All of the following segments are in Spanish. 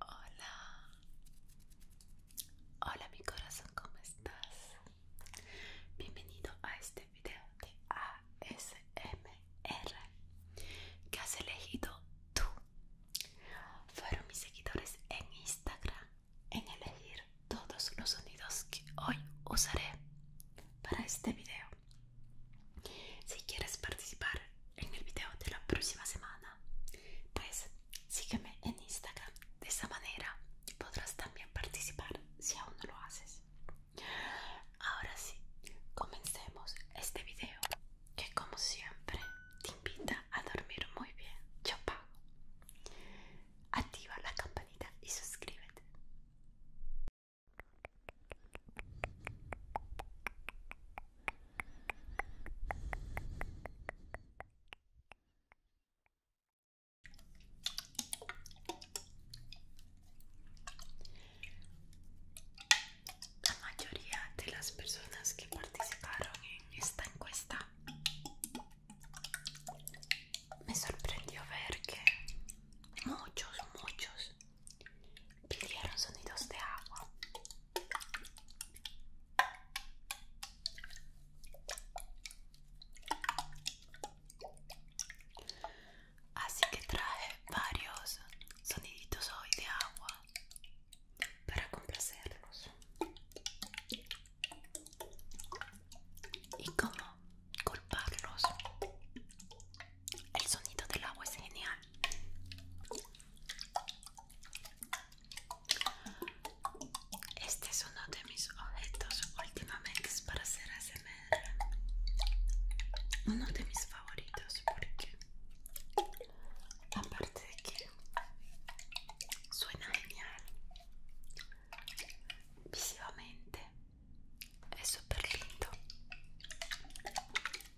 Hola, hola mi corazón, ¿cómo estás? Bienvenido a este video de ASMR que has elegido tú. Fueron mis seguidores en Instagram en elegir todos los sonidos que hoy usaré para este video. Si quieres participar, en el video de la próxima semana. Pues sígueme en Instagram, de esa manera podrás también participar si aún no lo haces. Ahora sí, comencemos este video que como siempre te invita a dormir muy bien. Yo pago. Activa la campanita y suscríbete. La mayoría de las personas que participaron en esta encuesta me sorprendió ver que muchos, muchos pidieron sonidos de agua. Así que trae varios soniditos hoy de agua para complacerlos. ¿Y cómo culparlos? El sonido del agua es genial. Este es uno de mis objetos últimamente para hacer ASMR. Uno de mis favoritos porque aparte de que suena genial visivamente es súper lindo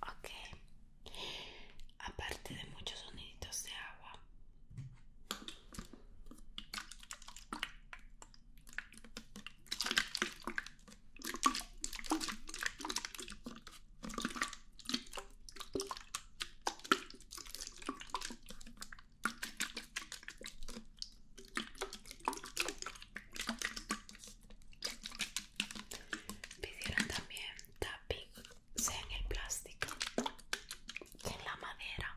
Okay, aparte de muchos soniditos de agua, Pidieron también tapping, sea en el plástico, en la madera.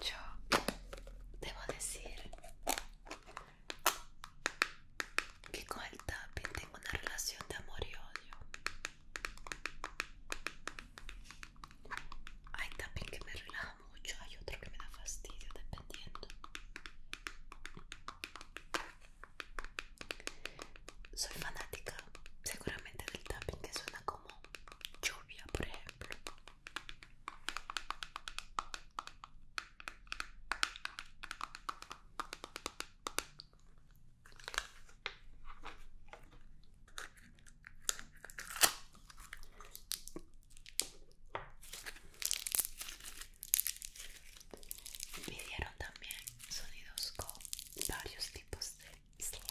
Yo debo decir que con el tapping tengo una relación de amor y odio. Hay tapping que me relaja mucho, hay otro que me da fastidio, dependiendo. Soy fanática seguramente del tapping que suena como como lluvia, por ejemplo. Pidieron también sonidos con varios tipos de slime.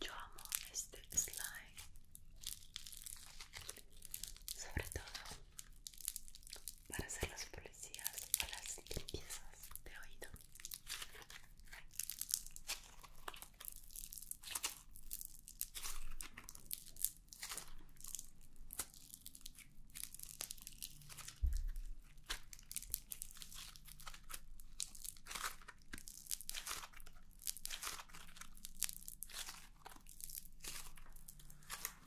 Yo amo este slime sobre para hacer las policías para las piezas de oído.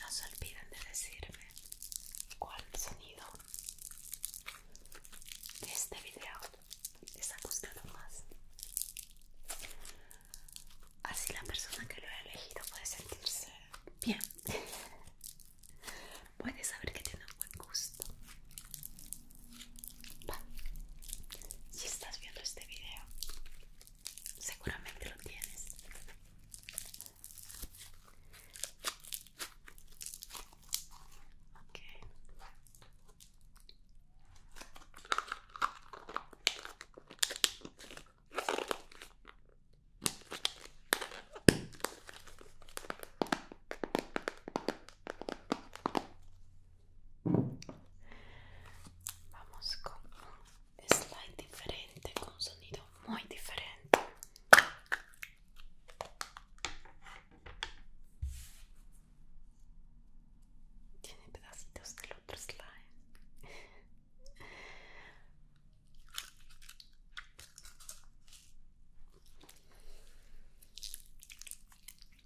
No se olviden de decirme cuál sonido de este video les ha gustado más. Así la persona que lo ha elegido puede sentirse bien. Puede saber que tiene un buen gusto. Si estás viendo este video Seguramente lo tienes. Vamos con un slide diferente, con sonido muy diferente. Tiene pedacitos del otro slide.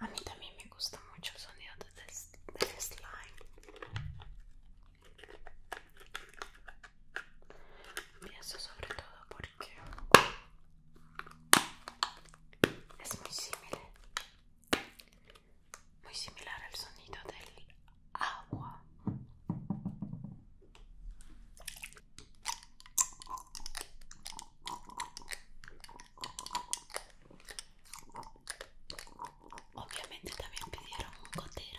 A mí también me gusta mucho sonido del de slime. Pienso sobre todo porque es muy similar, muy similar al sonido del agua. Obviamente también pidieron un gotero.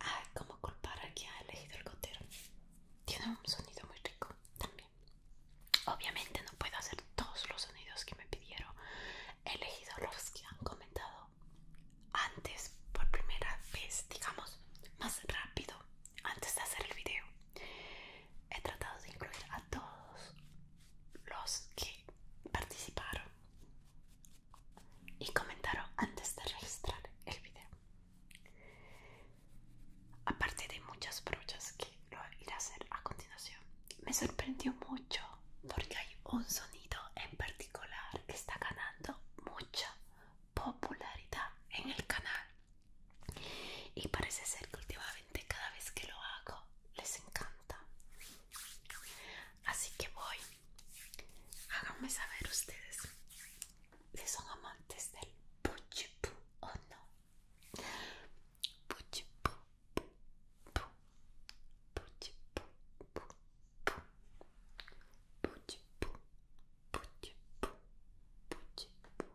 Ah, como culpar aquí ha elegido el gotero. Tiene un sonido muy rico también. Obviamente no puedo hacer todos los sonidos que me pidieron. He elegido los que han comentado antes por primera vez, digamos, más rápido antes de hacer el video. He tratado de incluir a todos los que participaron y comentaron antes de registrar el video. Aparte de muchas brochas que lo iré a hacer a continuación, me sorprendió mucho porque hay un sonido en particular que está ganando mucha popularidad en el canal y parece ser que últimamente cada vez que lo hago les encanta así que voy háganme saber ustedes si son amantes del puchipú o no puchipú puchipú puchipú puchipú puchipú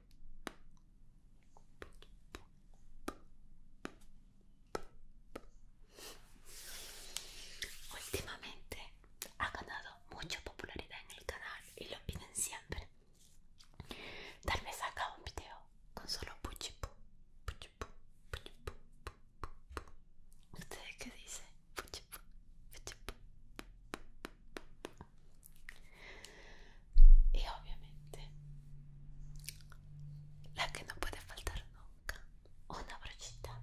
Últimamente ha ganado mucha popularidad en el canal y lo piden siempre. Tal vez haga un video con solo puchipu, y obviamente, la que no puede faltar nunca, una brochita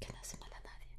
que no hace mal a nadie.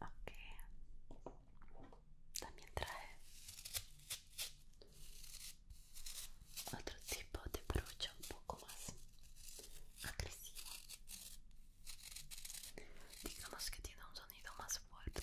Ok. También trae otro tipo de brocha un poco más agresiva, Digamos que tiene un sonido más fuerte.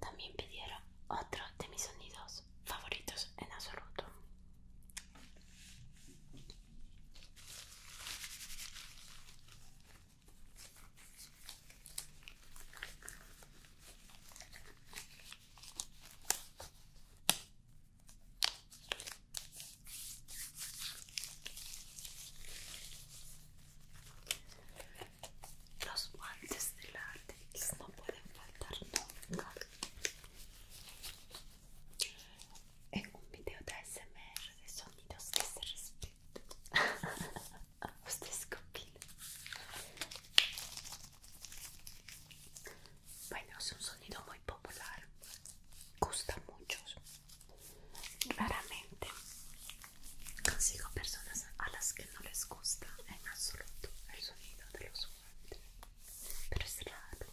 También pidieron otro de mis sonidos favoritos en absoluto. Los guantes de látex no pueden faltar nunca. En un video de ASMR de sonidos que se A Ustedes bueno, es un sonido muy popular, gusta mucho. muchos. Raramente consigo personas a las que no les gusta en absoluto el sonido de los guantes, pero es raro.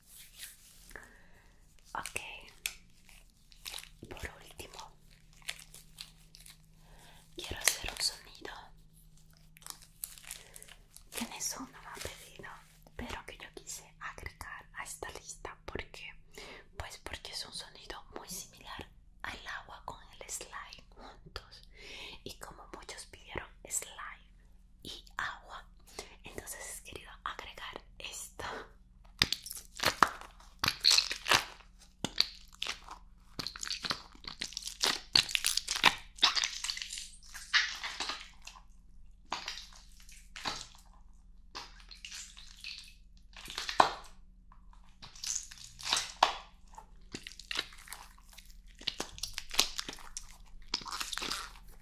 Ok, por último, quiero hacer un sonido que en eso no me ha pedido, pero que yo quise agregar a esta lista porque, pues, porque es un sonido muy similar al agua con el slime juntos y como muchos pidieron slime y agua. Entonces he querido agregar esto.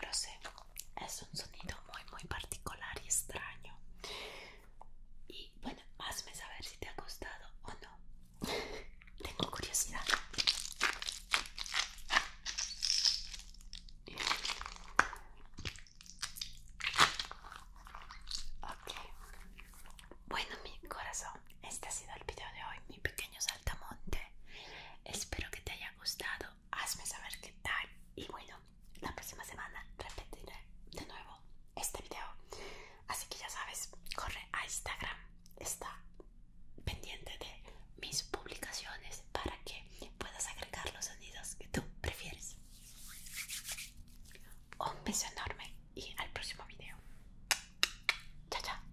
Lo sé, es un sonido muy muy particular y extraño. Y bueno, hazme saber si te ha gustado o no. Tengo curiosidad. Ok. Bueno, mi corazón, este ha sido el video de hoy, mi pequeño saltamonte. Espero que te haya gustado. Hazme saber qué tal. Y bueno, la próxima semana repetiré de nuevo este video. Así que ya sabes, corre a Instagram, está pendiente de mis publicaciones para que puedas agregar los sonidos que tú prefieres. Un beso enorme y al próximo video. Chao, chao.